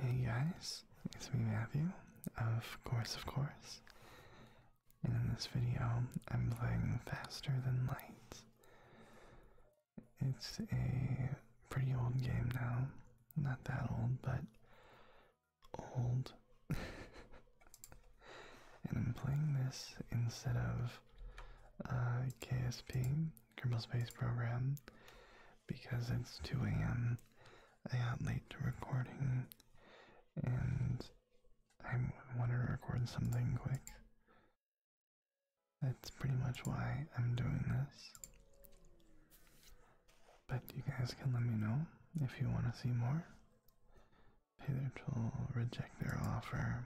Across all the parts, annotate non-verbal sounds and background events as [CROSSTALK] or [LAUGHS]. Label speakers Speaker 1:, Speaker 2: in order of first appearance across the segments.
Speaker 1: Hey guys, it's me Matthew, of course, of course. And in this video, I'm playing Faster Than Light. It's a pretty old game now. Not that old, but old. [LAUGHS] and I'm playing this instead of uh, KSP, Kerbal Space Program, because it's 2 a.m. I got late to recording and I want to record something quick. That's pretty much why I'm doing this. But you guys can let me know if you want to see more. Peter will reject their offer.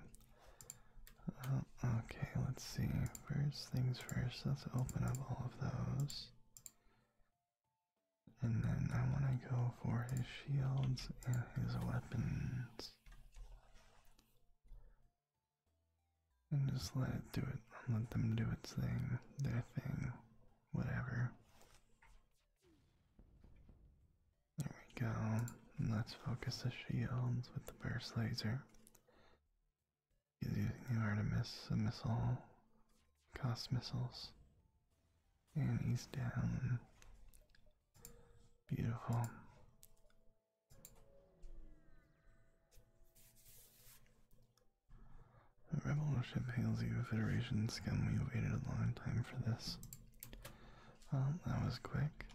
Speaker 1: Uh, okay, let's see. First things first, let's open up all of those. And then I want to go for his shields and his weapons. And just let it do it. Let them do its thing, their thing, whatever. There we go. And let's focus the shields with the burst laser. He's using the Artemis missile, cost missiles, and he's down. Beautiful. The rebel ship hails you, Federation scum. We waited a long time for this. Um, that was quick.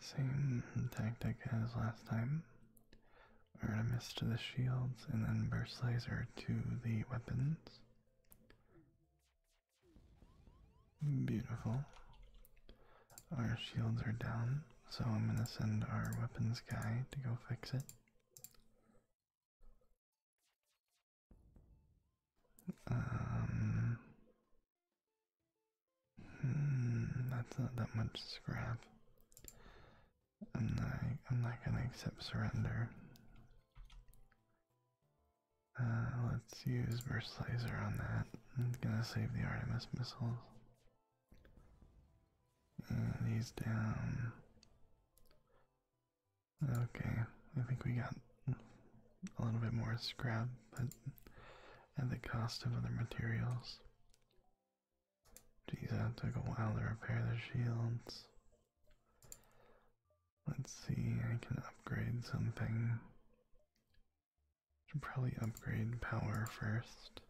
Speaker 1: Same tactic as last time. Artemis to the shields and then Burst Laser to the weapons. Beautiful. Our shields are down, so I'm going to send our weapons guy to go fix it.
Speaker 2: Um, Hmm, that's not that
Speaker 1: much scrap. I'm not. I'm not gonna accept surrender. Uh, let's use burst laser on that. I'm gonna save the Artemis missiles. And uh, he's down. Okay, I think we got a little bit more scrap, but at the cost of other materials. Geez, that took a while to repair the shields. Let's see, I can upgrade something. Should probably upgrade power first.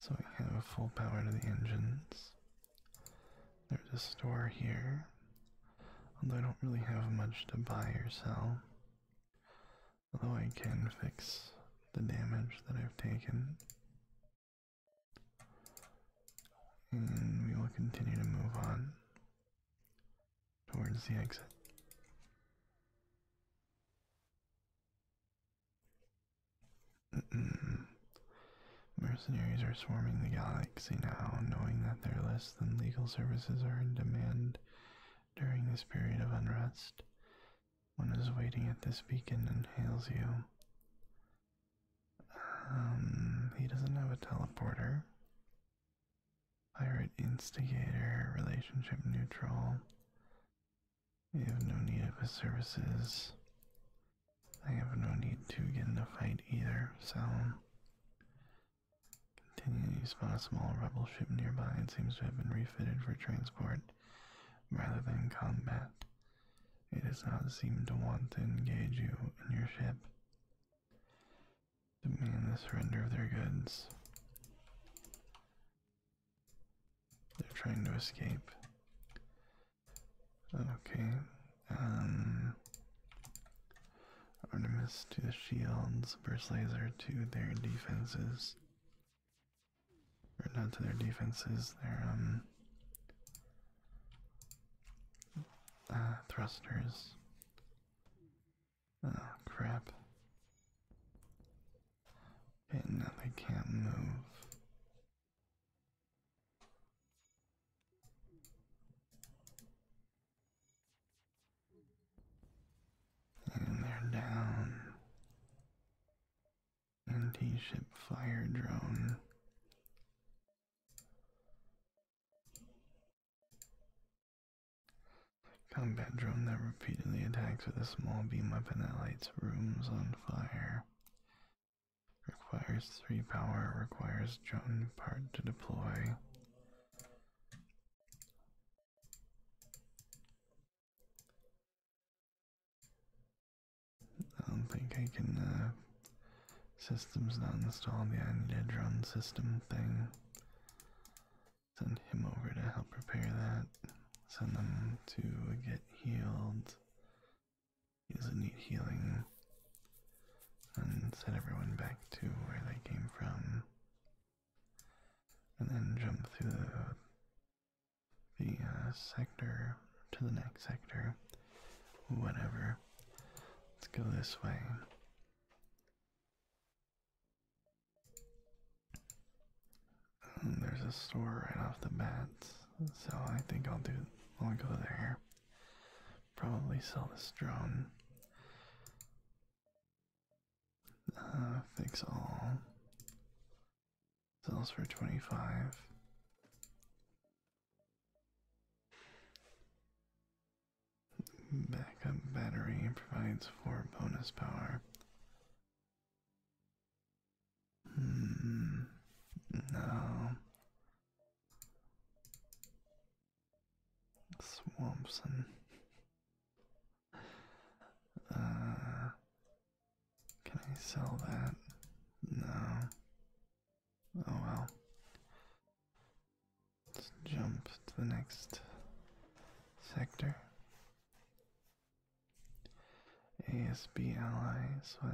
Speaker 1: So I have full power to the engines. There's a store here. Although I don't really have much to buy or sell. Although I can fix the damage that I've taken. And we will continue to move on towards the exit. Mercenaries are swarming the galaxy now, knowing that their less than legal services are in demand during this period of unrest. One is waiting at this beacon and hails you. Um, he doesn't have a teleporter. Pirate instigator, relationship neutral. You have no need of his services. I have no need to get in a fight either, so. continuing, you spot a small rebel ship nearby It seems to have been refitted for transport rather than combat. It does not seem to want to engage you in your ship. Demand the surrender of their goods. They're trying to escape. Okay. Um Artemis to the shields, burst laser to their defenses. Right now, to their defenses, their um, uh, thrusters. Oh crap.
Speaker 2: Okay, now they can't move.
Speaker 1: And they're down.
Speaker 2: Anti ship fire drone.
Speaker 1: Combat drone that repeatedly attacks with a small beam weapon that lights rooms on fire. Requires 3 power, requires drone
Speaker 2: part to deploy.
Speaker 1: I don't think I can, uh, system's not installed yet, I need a drone system thing. Send him over to help repair that. Send them to get healed. He doesn't need healing. And send everyone back to where they came from and then jump through the, uh, sector to the next sector, whatever. Let's go this way. there's a store right off the bat, so I think I'll do. I'll go there. Probably sell this drone. Uh, fix all. Sells for 25. Backup battery provides for bonus power. Hmm. No.
Speaker 2: Swampson. Uh, can I sell that? No. Oh well.
Speaker 1: Let's jump to the next sector. ASB ally, sweat.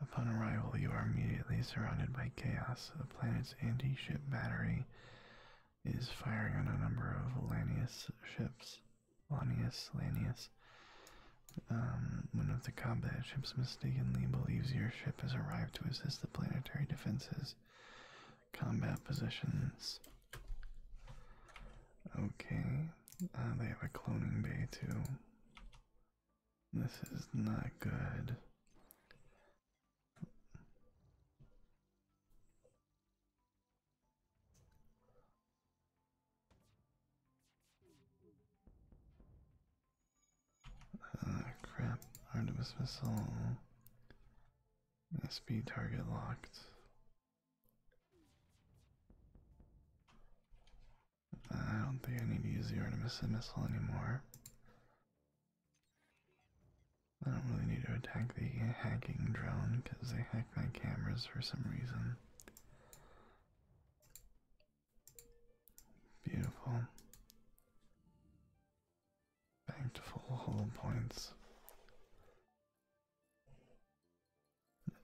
Speaker 1: Upon arrival, you are immediately surrounded by chaos. The planet's anti ship battery is firing on a number of Lanius ships. Lanius, Lanius. Um, one of the combat ships mistakenly believes your ship has arrived to assist the planetary defenses. Combat positions. Okay, uh, they
Speaker 2: have a cloning bay too. This is not good. Ah, uh, crap. Artemis missile.
Speaker 1: SB target locked. Ah, I don't think I need to use the Artemis missile anymore. I don't really need to attack the hacking drone because they hack my cameras for some reason.
Speaker 2: Beautiful. Back to points.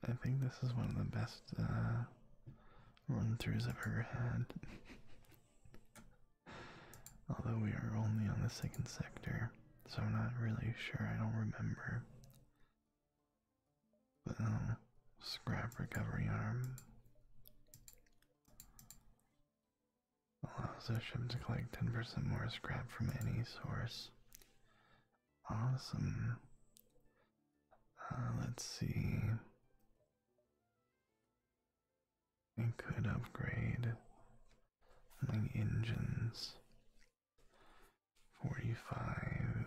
Speaker 1: I think this is one of the best uh, run throughs I've ever had. [LAUGHS] Although we are only on the second sector so I'm not really sure. I don't remember. But um, scrap recovery arm allows a ship to collect 10% more scrap from any source. Awesome. Uh, let's see. I could upgrade
Speaker 2: my engines. 45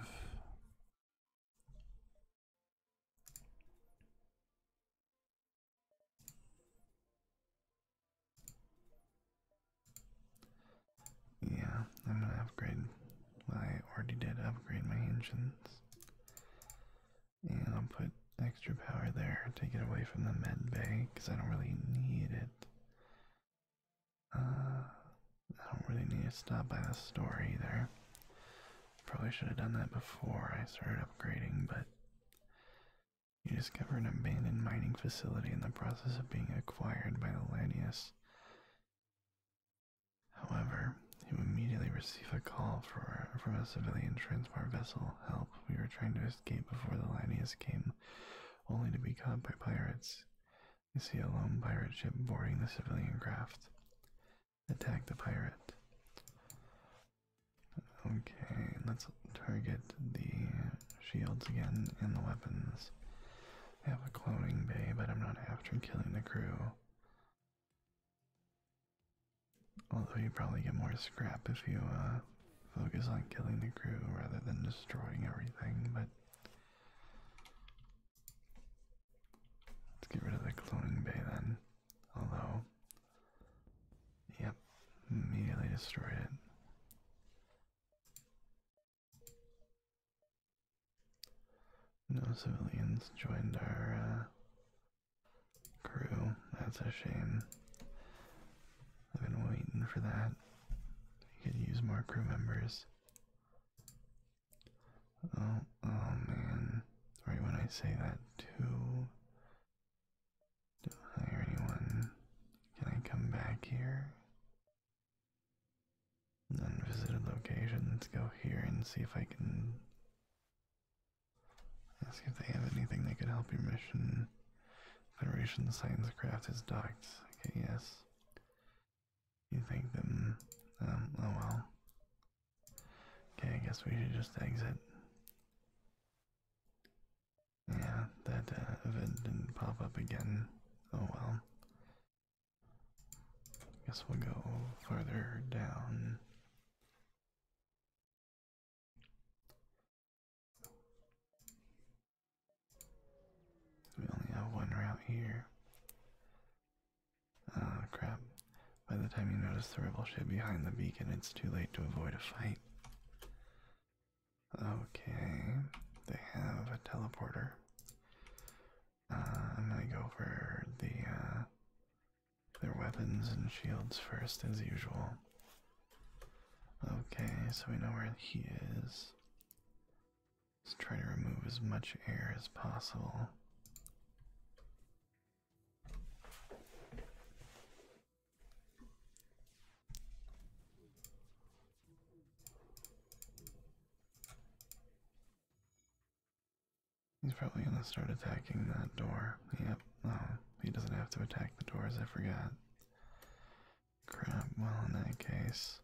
Speaker 2: yeah, I'm gonna upgrade. I
Speaker 1: already did upgrade my engines. And I'll put extra power there, take it away from the med bay, because I don't really need it. Uh, I don't really need to stop by the store either. Probably should have done that before I started upgrading, but you discover an abandoned mining facility in the process of being acquired by the Lanius. However, you immediately receive a call for, from a civilian transport vessel. Help, we were trying to escape before the Lanius came only to be caught by pirates. You see a lone pirate ship boarding the civilian craft. Attack the pirate. Okay, let's target the shields again and the weapons. I have a cloning bay, but I'm not after killing the crew. Although you probably get more scrap if you uh, focus on killing the crew rather than destroying everything, but let's get rid of the cloning bay then. Although, yep, immediately destroyed it. No civilians joined our uh, crew. That's a shame. I've been waiting for that. You could use more crew members. Oh, oh man. Right when I say that, too. Don't hire anyone. Can I come back here? Unvisited location. Let's go here and see if I can. see if they have anything that could help your mission. Federation Science Craft is docked. Okay, yes. You think them. Mm, um, oh well. Okay, I guess we should just exit. Yeah, that uh, event didn't pop up again. Oh well. I
Speaker 2: Guess we'll go further down. We only have one route here. Ah, crap.
Speaker 1: By the time you notice the rebel ship behind the beacon, it's too late to avoid a fight. Okay, they have a teleporter. Ah, I'm gonna go for the uh, their weapons and shields first, as usual. Okay, so we know where he is. Let's try to remove as much air as possible. He's probably gonna start attacking that door. Yep, no, he doesn't have to attack the doors, I forgot. Crap, well, in that case,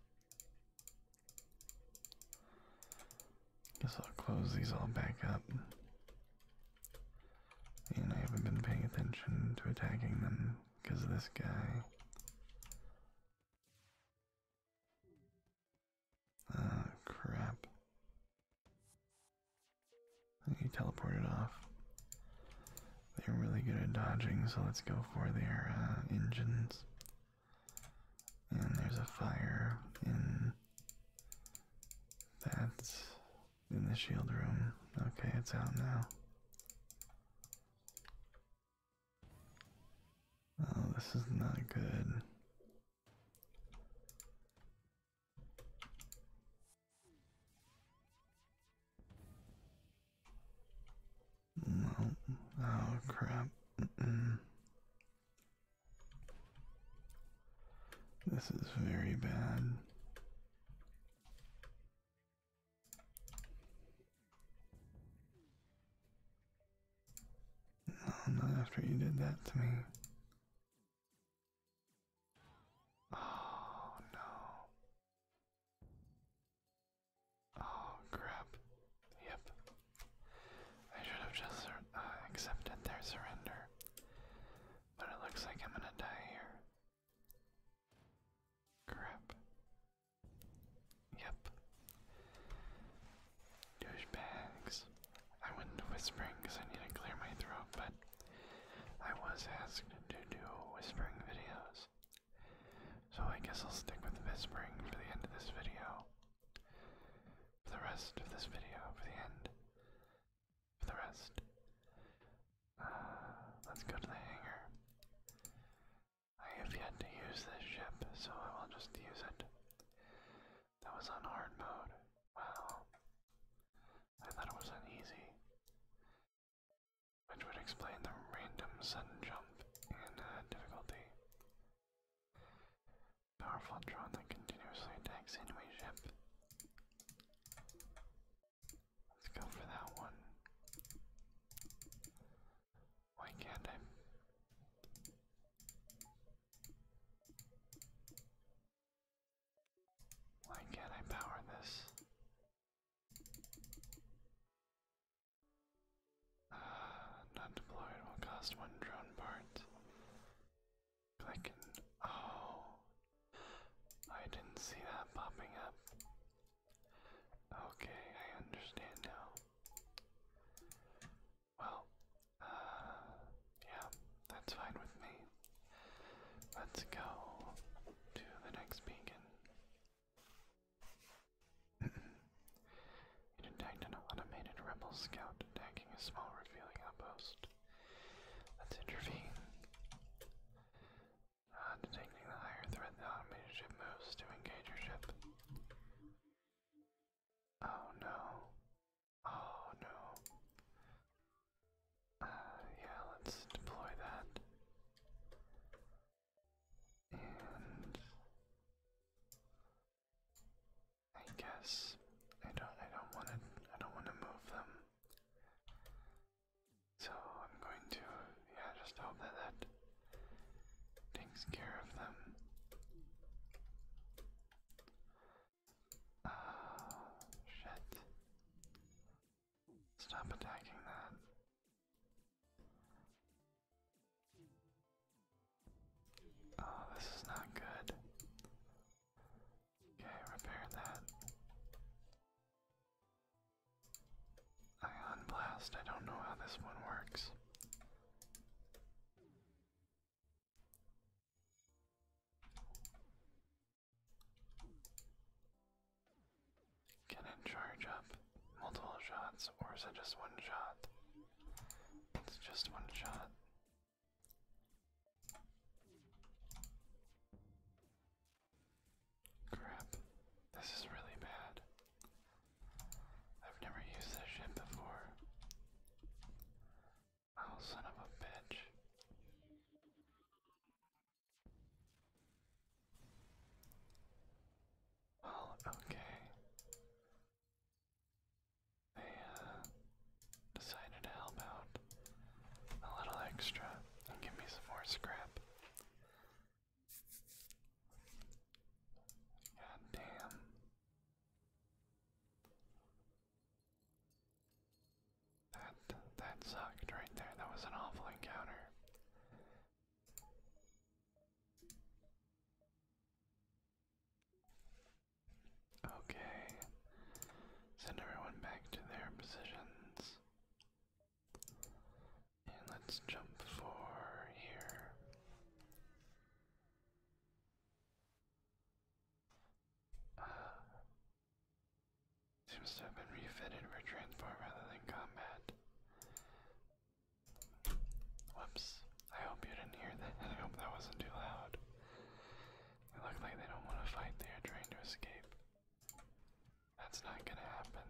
Speaker 1: guess I'll close these all back up. And I haven't been paying attention to attacking them because of this guy.
Speaker 2: Oh, crap. He teleported off.
Speaker 1: They're really good at dodging, so let's go for their uh, engines. And there's a fire in that's in the shield room. Okay, it's out now.
Speaker 2: Oh, this is not good. Oh, crap.
Speaker 1: This is very bad. not after you did that to me. Oh no. Oh crap. Yep. I should have just uh, accepted their surrender. But it looks like I'm gonna die here. Crap. Yep. Douchebags. I went into whispering because I need to clear my throat, but I was asked to do whispering videos, so I guess I'll stick with whispering for the end of this video. For the rest of this video, for the end. For the rest. Uh, let's go to the hangar. I have yet to use this ship, so I will just use it. That was on hard mode. Wow. I thought it was on easy. Which would explain the random sudden jump in uh, difficulty. Powerful drone that continuously attacks enemy ship. Let's go for that one. Why can't I? Why can't I power this? Uh, [SIGHS] not deployed will cost one drone part. Click oh, I didn't see that popping up. Okay, I understand now. Well, uh, yeah, that's fine with me. Let's go to the next beacon. you [CLEARS THROAT] detect an automated rebel scout attacking a small revealing outpost. Let's intervene. Ah, detecting the higher threat, the automated ship moves to engage your ship.
Speaker 2: Oh no. Oh no. Uh, yeah, let's deploy that. And I guess I don't I don't want to I don't want to move them. So I'm going to yeah just hope that that takes care of them. Uh, shit. Stop attacking that. Oh, this is not good.
Speaker 1: Okay, repair that. Ion blast, I don't know how this one works. Can it charge up multiple shots or is it just one shot? It's just one shot. Crap, this is really bad. I've never used this shit before. I'll oh, son of a bitch. Well, oh, okay. They uh, decided to help out a little extra and give me some more scrap. God that that sucked right there. That was an awful encounter. Okay. Send everyone back to their positions. And let's jump for here. Uh, Seems to have been refitted for transport rather than combat. Whoops. I hope you didn't hear that. [LAUGHS] I hope that wasn't too loud. They look like they don't want to fight, they are trying to escape. That's not gonna happen.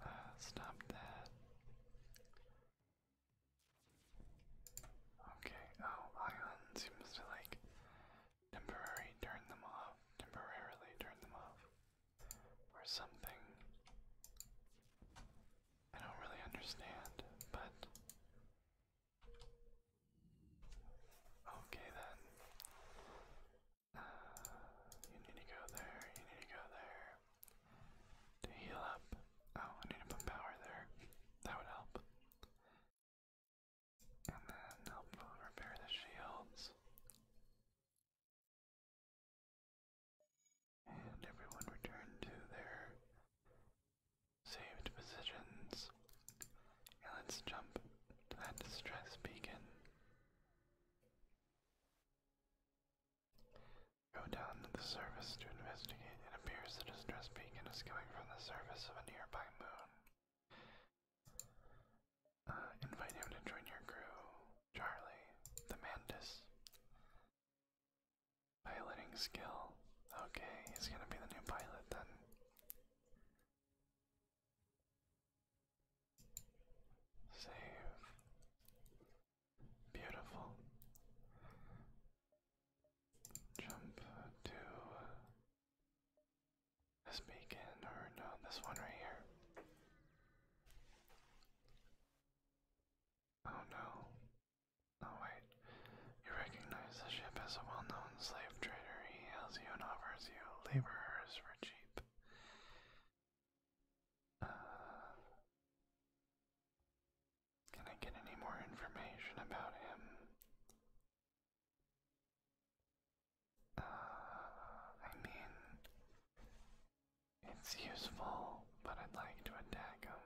Speaker 1: Uh, stop that. Okay, oh, Ion seems to like temporarily turn them off, temporarily turn them off, or something. I don't really understand, but okay then. Uh, you need to go there. You need to go there to heal up.
Speaker 2: Oh, I need to put power there. That would help. And then help repair the shields. And everyone return to their saved positions. And let's jump
Speaker 1: to that distress beacon. Go down to the surface to investigate. It appears the distress beacon is coming from the surface of a nearby moon.
Speaker 2: Uh, invite him to join your crew, Charlie the Mantis. Piloting skill. Okay, he's gonna be the new pilot then. Save. Beautiful.
Speaker 1: Jump to this beacon, or no, this one right here. Oh no. Oh wait. You recognize the ship as a well known slave trader. He hails you and offers you laborers for cheap. Uh, can I get any more information about him?
Speaker 2: Uh, I mean, it's useful, but I'd like to attack them.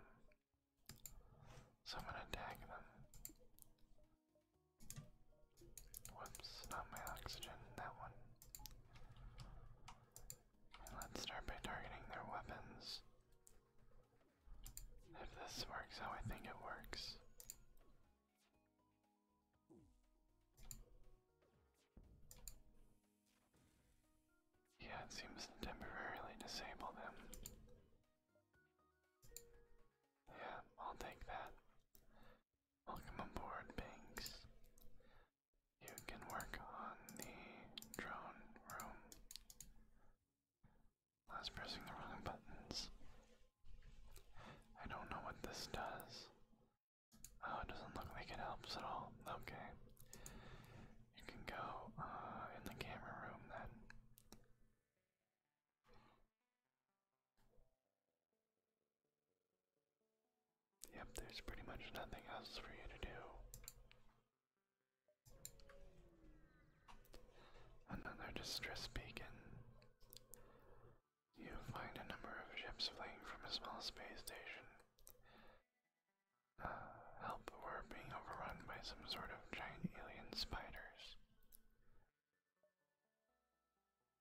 Speaker 2: So I'm gonna attack
Speaker 1: them. Whoops, not my oxygen, that one. And let's start by targeting their weapons. If this works how I think it works, yeah, it seems temporarily disable them.
Speaker 2: Yeah, I'll take that. Welcome aboard, Banks. You can work on the drone room. I was pressing the wrong buttons. I don't know what this does. Oh,
Speaker 1: it doesn't look like it helps at all. Okay. You can go uh, in the camera room then. Yep, there's pretty much nothing else for you to do. Another distress beacon. You find a number of ships fleeing from a small space station. Uh, help were being overrun by some sort of giant alien spiders.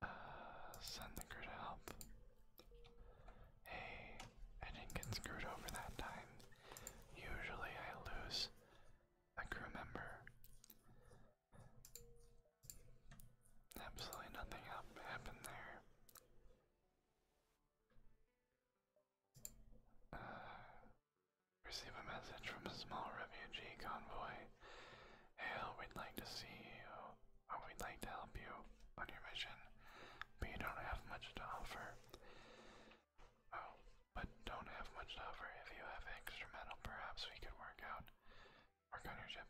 Speaker 1: Uh, send the crew help. Hey, I didn't get screwed over that time. Usually I lose a crew member. Absolutely nothing happened there. Uh, receive a message from a small refugee convoy. Hail, we'd like to see you, uh, we'd like to help you on your mission, but you don't have much to offer. Oh, but don't have much to offer. If you have extra metal, perhaps we could work out
Speaker 2: Work on your ship.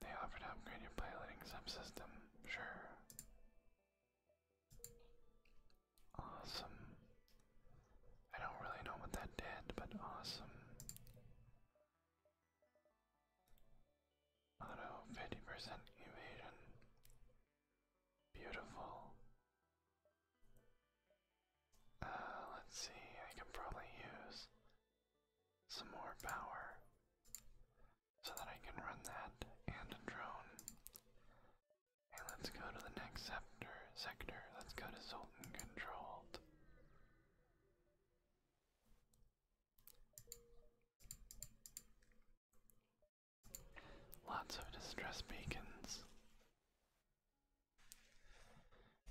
Speaker 2: They offer to upgrade your piloting subsystem. Sure. Awesome.
Speaker 1: I don't really know what that did, but awesome. Auto 50% evasion. Beautiful. Uh, let's see, I can probably use some more power so that I can run that and a drone. let's go to the next sector. Sector. Let's go to Sultan Controlled. Lots of distress beacons.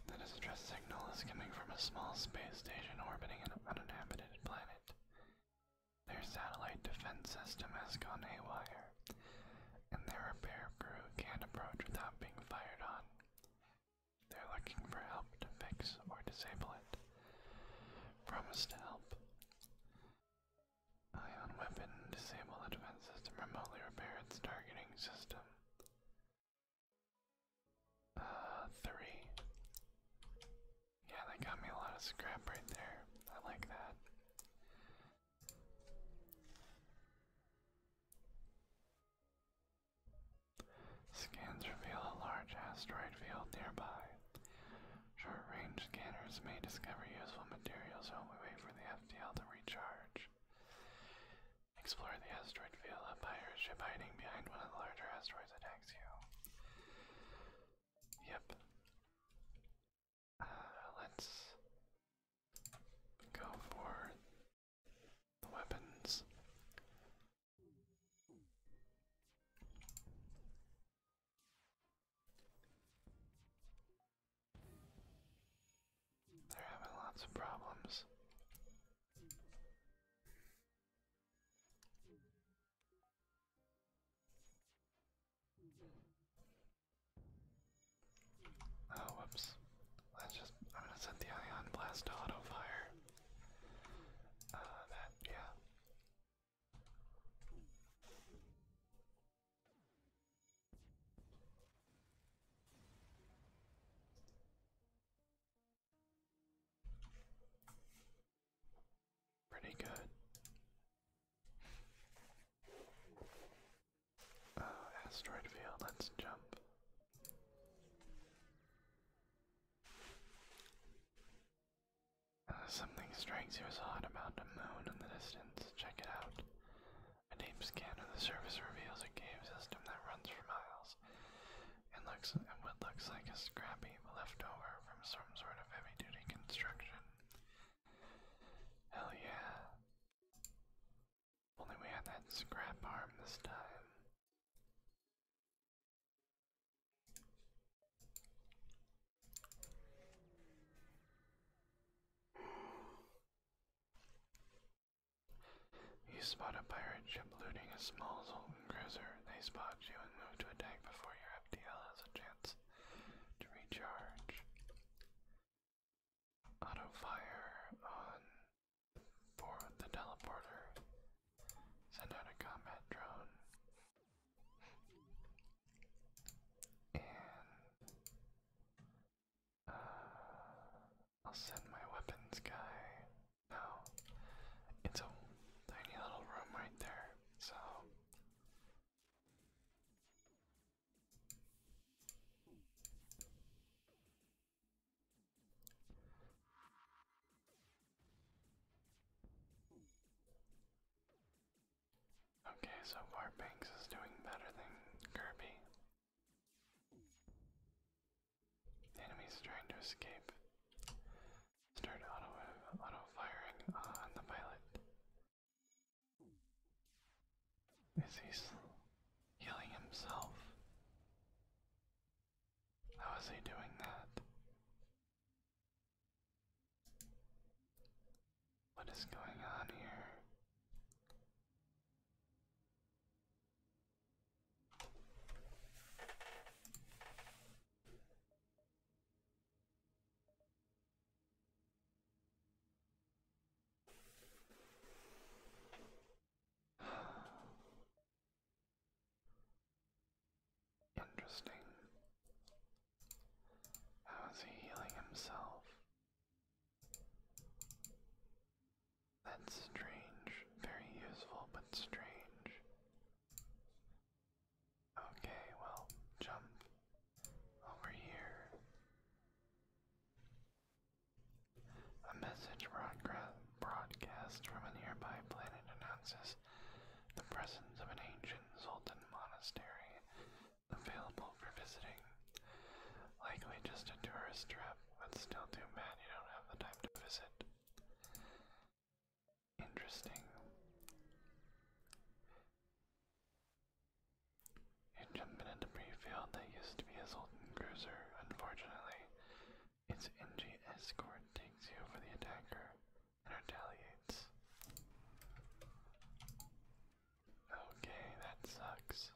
Speaker 1: That distress signal is coming from a small space station orbiting an uninhabited planet. Their satellite defense system has gone haywire, and their repair crew can't approach without being fired on. They're looking for help to fix or disable it. Promise to help. Ion weapon, disable the defense system, remotely repair its targeting system. Uh, three. Yeah, that got me a lot of scrap right there. I like that. Scans reveal a large asteroid field nearby. Short range scanners may discover useful materials while we wait for the FTL to recharge. Explore the asteroid field. A pirate ship hiding behind one of the larger asteroids attacks you. Yep. Uh, let's go for the weapons.
Speaker 2: They're having lots of problems. Oh, whoops. Let's just, I'm gonna set the ion blast auto fire.
Speaker 1: Uh, yeah. Pretty good. Uh, asteroid field, let's jump. Uh, something strikes you as odd about a moon in the distance. Check it out. A deep scan of the surface reveals a cave system that runs for miles. It looks and what looks like a scrappy leftover from some sort of heavy-duty construction. Hell yeah! Only we had that scrap arm this time. You spot a pirate ship looting a small Zoltan cruiser. They spot you and move to attack before your FTL has a chance to recharge. Auto fire on the teleporter. Send out a combat drone. [SIGHS] I'll send my weapons guy. No, it's a tiny little room right there, so. Okay, so far Banks is doing better than Kirby. enemy's trying to escape. Start auto, auto firing on the pilot. Is he healing himself? How is he doing that? What is going on here? [SIGHS] Interesting. How is he healing himself? That's strange. Very useful, but strange. Okay, well, jump over here. A message broadcast from a nearby planet announces the presence of an ancient Sultan monastery available for visiting. Likely just a tourist trip, but still too bad you don't have the time to visit. Interesting. It jumped into Breefield that used to be a Sultan cruiser. Unfortunately, its NG escort takes you for the attacker and retaliates. Okay, that sucks.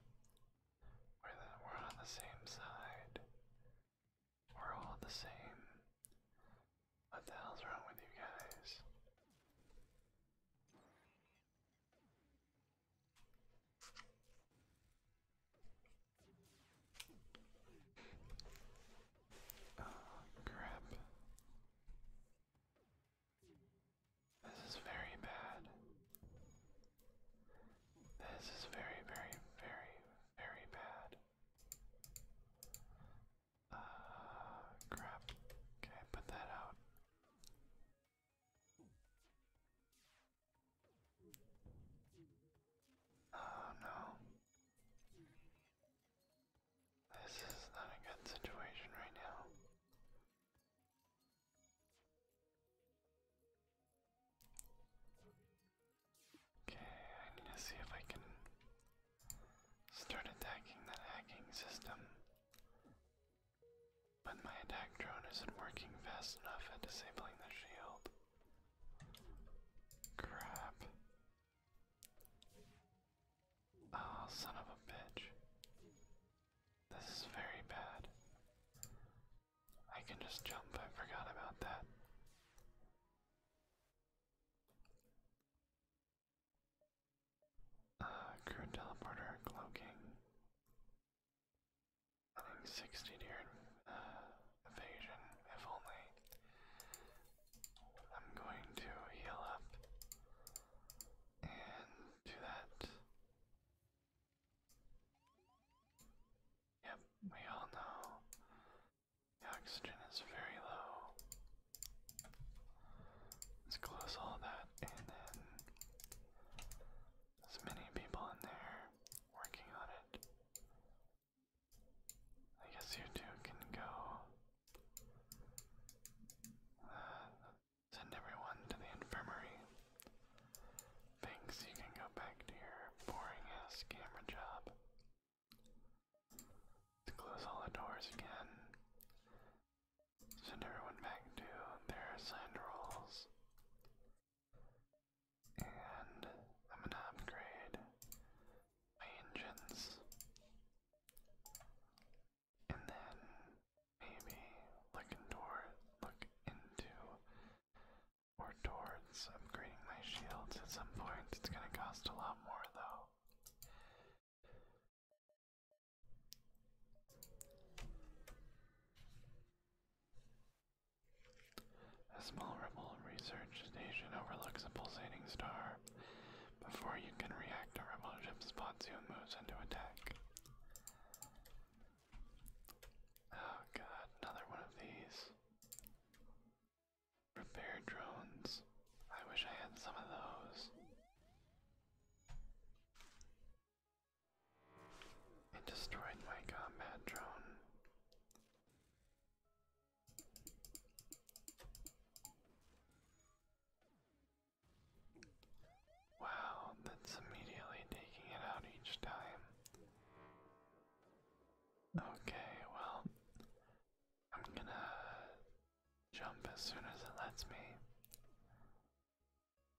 Speaker 1: We're, we're on the same side. We're all the same. What the hell's wrong with you guys? Oh, crap. This is very bad. This is very, very, very, very bad. Uh, crap. Okay, put that out. Oh no. This is not a good situation right now. Okay, I need to see if I can start attacking that hacking system. But my attack drone isn't working fast enough at disabling the shield. Crap.
Speaker 2: Oh, son of a bitch. This is very bad. I can just jump, I forgot about that. Uh, crew teleporter, cloaking. I 60
Speaker 1: deer uh, evasion, if only. I'm going to heal up and do that. Yep, we all know oxygen is very low. Let's close all that and then as many people in there working on it. I guess you two can go. Uh, Send everyone to the infirmary. Thanks, you can go back to your boring ass camera job. close all the doors again. Send everyone back to their assigned roles. And I'm gonna upgrade my engines and then maybe look into or towards upgrading my shields at some point. It's gonna cost a lot more though. A small rebel research station overlooks a pulsating star. Before you can react, a rebel ship spots you and moves into attack. Oh god, another one of these. Repair drones. I wish I had some of those. And destroyed my combat drone. Wow, that's immediately taking it out each time. Okay, well, I'm gonna jump as soon as it lets me.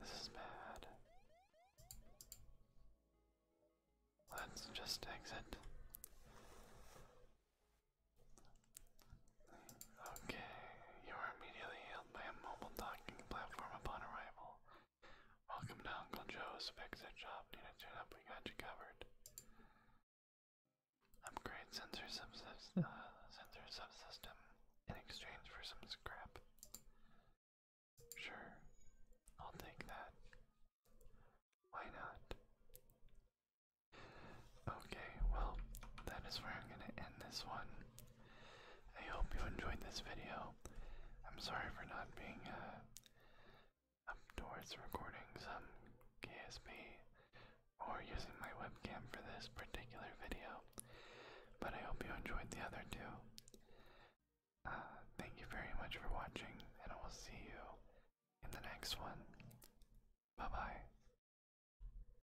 Speaker 1: This is bad. Let's just exit. Okay, you are
Speaker 2: immediately healed by a mobile docking platform upon arrival. Welcome to Uncle Joe's Fix-It Shop. Need a tune-up? We got you covered. Upgrade [LAUGHS] uh,
Speaker 1: sensor subsystem in exchange for some scrap.
Speaker 2: Sure, I'll take that. Why not? Okay, well, that is where I'm going to end this one. I hope you enjoyed this video. I'm
Speaker 1: sorry for not being uh, up towards recording some KSP or using my webcam for this particular video, but I hope you enjoyed the other two. Uh, thank you very much for watching, and I will see you in the next one. Bye bye.